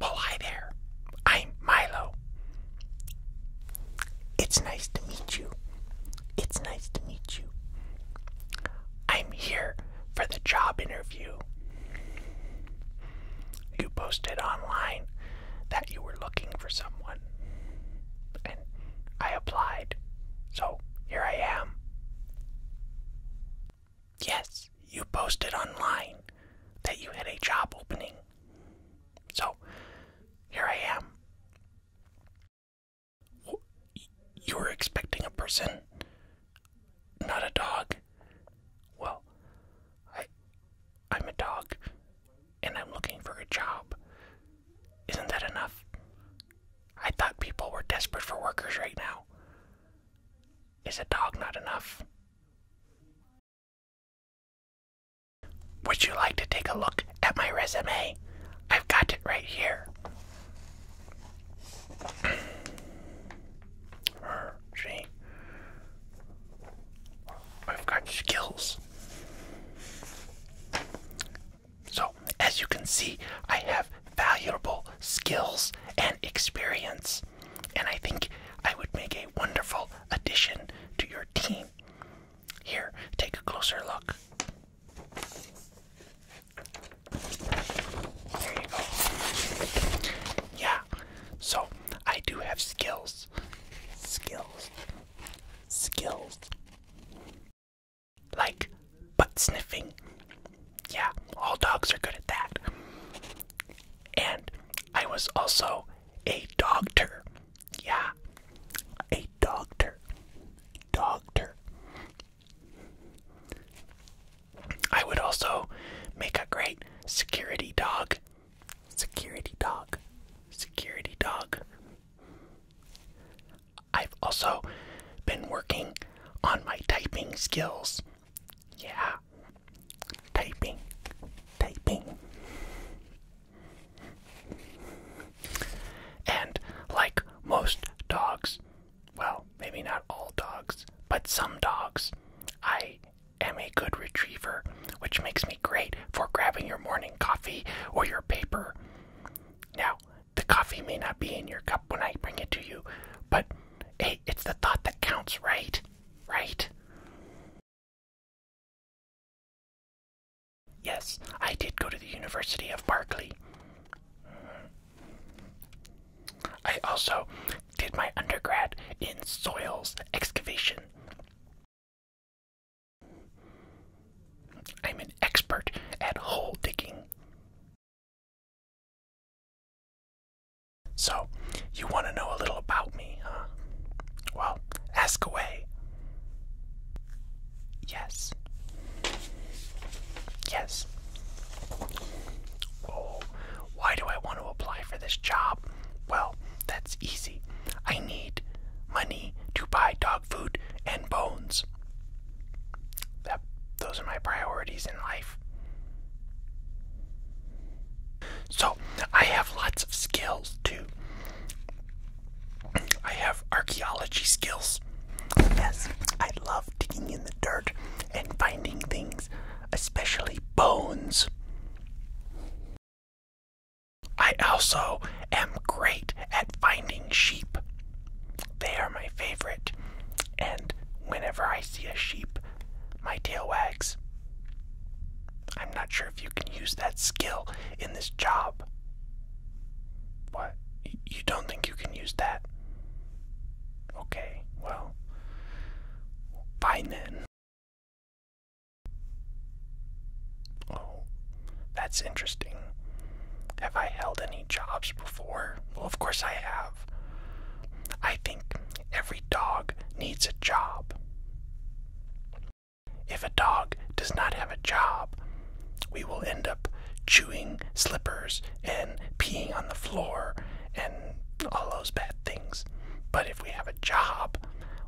Well, hi there. I'm Milo. It's nice to meet you. It's nice to meet you. I'm here for the job interview. You posted online that you were looking for someone. And I applied. So here I am. Yes, you posted online that you had a job opening. So here I am. You are expecting a person, not a dog. Well, I I'm a dog and I'm looking for a job. Isn't that enough? I thought people were desperate for workers right now. Is a dog not enough? Would you like to take a look at my resume? I've got it right here. I've got skills. So, as you can see, I have valuable skills and experience, and I think I would make a wonderful addition to your team. Here, take a closer look. There you go. Yeah, so I do have skills. Skills. Skills. Like butt sniffing. Yeah, all dogs are good at that. And I was also a doctor. Yeah, a doctor. Doctor. I would also make a great security dog Security dog. Security dog. I've also been working on my typing skills. Yeah. Typing. Typing. And like most dogs, well, maybe not all dogs, but some dogs, I am a good retriever, which makes me great for grabbing your morning coffee or your paper. Now, the coffee may not be in your cup when I bring it to you, but hey, it's the thought that counts, right? Right? Yes, I did go to the University of Berkeley. I also did my undergrad in soils excavation. I'm an expert at hole digging. So, you want to know a little about me, huh? Well, ask away. Yes. Yes. Oh, why do I want to apply for this job? Well, that's easy. I need money to buy dog food and bones. That, those are my priorities in life. So, I have lots of skills too. I have archaeology skills. Yes, I love digging in the dirt and finding things, especially bones. I also am great at finding sheep. They are my favorite, and whenever I see a sheep, my tail wags. I'm not sure if you can use that skill in this job. What? You don't think you can use that? Okay, well, fine then. Oh, that's interesting. Have I held any jobs before? Well, of course I have. I think every dog needs a job. If a dog does not have a job, we will end up chewing slippers and peeing on the floor and all those bad things. But if we have a job,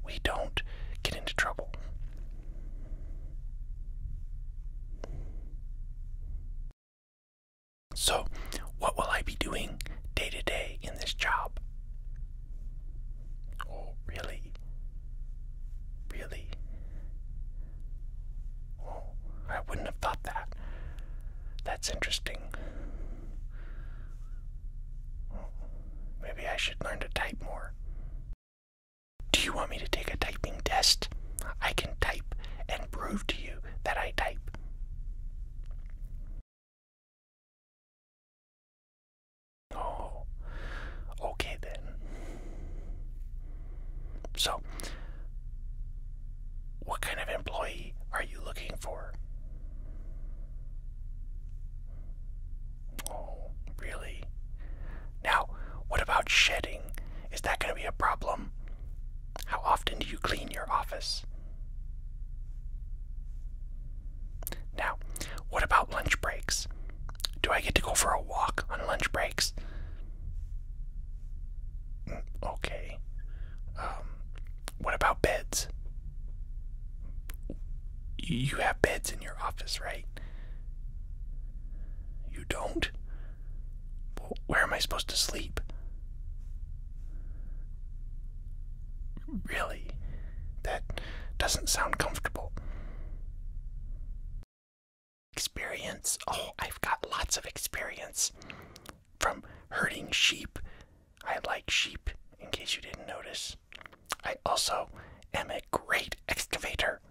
we don't get into trouble. So, what will I be doing day to day in this job? Oh, really? Really? Oh, I wouldn't have thought that. That's interesting. Maybe I should learn to type more. Do you want me to take a typing test? I can type and prove to you that I type. Oh, okay then. So, what kind of employee are you looking for? Oh, really? Now, what about shedding? Is that going to be a problem? How often do you clean your office? Now, what about lunch breaks? Do I get to go for a walk on lunch breaks? Mm, okay. Um, what about beds? You have beds in your office, right? You don't? where am I supposed to sleep? Really? That doesn't sound comfortable. Experience? Oh, I've got lots of experience. From herding sheep I like sheep, in case you didn't notice. I also am a great excavator.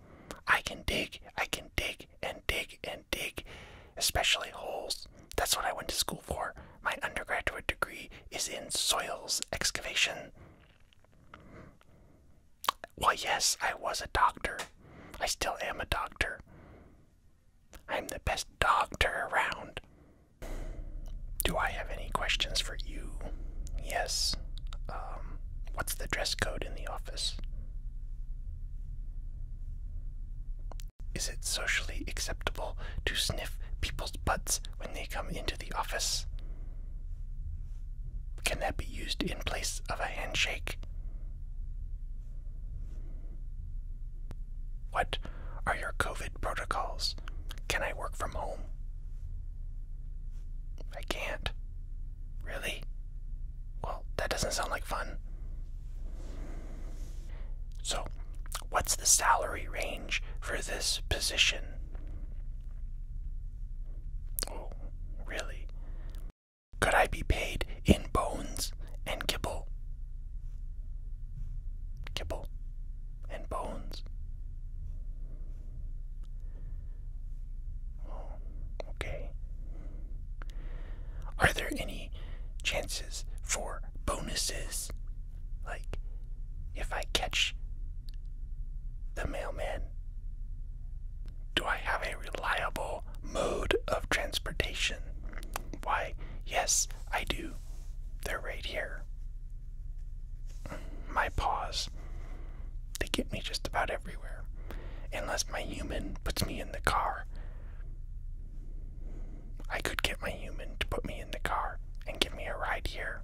I can dig, I can dig and dig and dig, especially holes. That's what I went to school for. My undergraduate degree is in soils excavation. Well, yes, I was a doctor. I still am a doctor. I'm the best doctor around. Do I have any questions for you? Yes. Um, what's the dress code in the office? Is it socially acceptable to sniff people's butts when they come into the office? Can that be used in place of a handshake? What are your COVID protocols? Can I work from home? I can't. Really? Well, that doesn't sound like fun. So, what's the salary range for this position? Oh, really? Could I be paid in bones and kibble. Kibble and bones. Oh, okay. Are there any chances for bonuses? Like, if I catch the mailman, do I have a reliable mode of transportation? Why, yes, I do. They're right here. My paws. They get me just about everywhere. Unless my human puts me in the car. I could get my human to put me in the car and give me a ride here.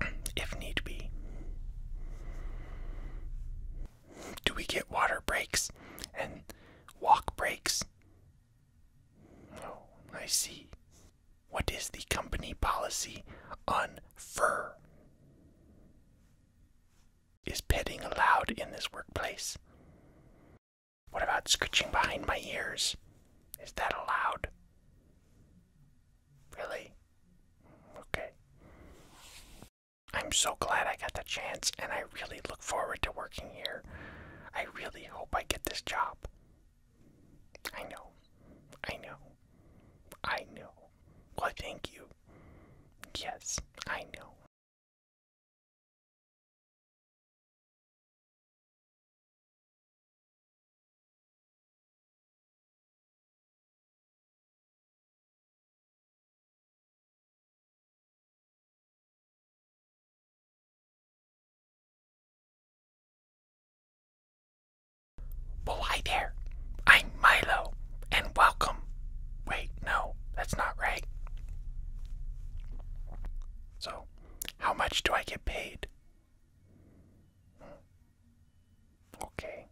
If need be. Do we get water breaks and walk breaks. Oh, I see. What is the company policy on fur? Is petting allowed in this workplace? What about scratching behind my ears? Is that allowed? Really? Okay. I'm so glad I got the chance and I really look forward to working here. I really hope I get this job. I know. I know. I know. Well, thank you. Yes, I know. Well, hi there. I'm Milo, and welcome. Wait, no, that's not right. So, how much do I get paid? Hmm. Okay.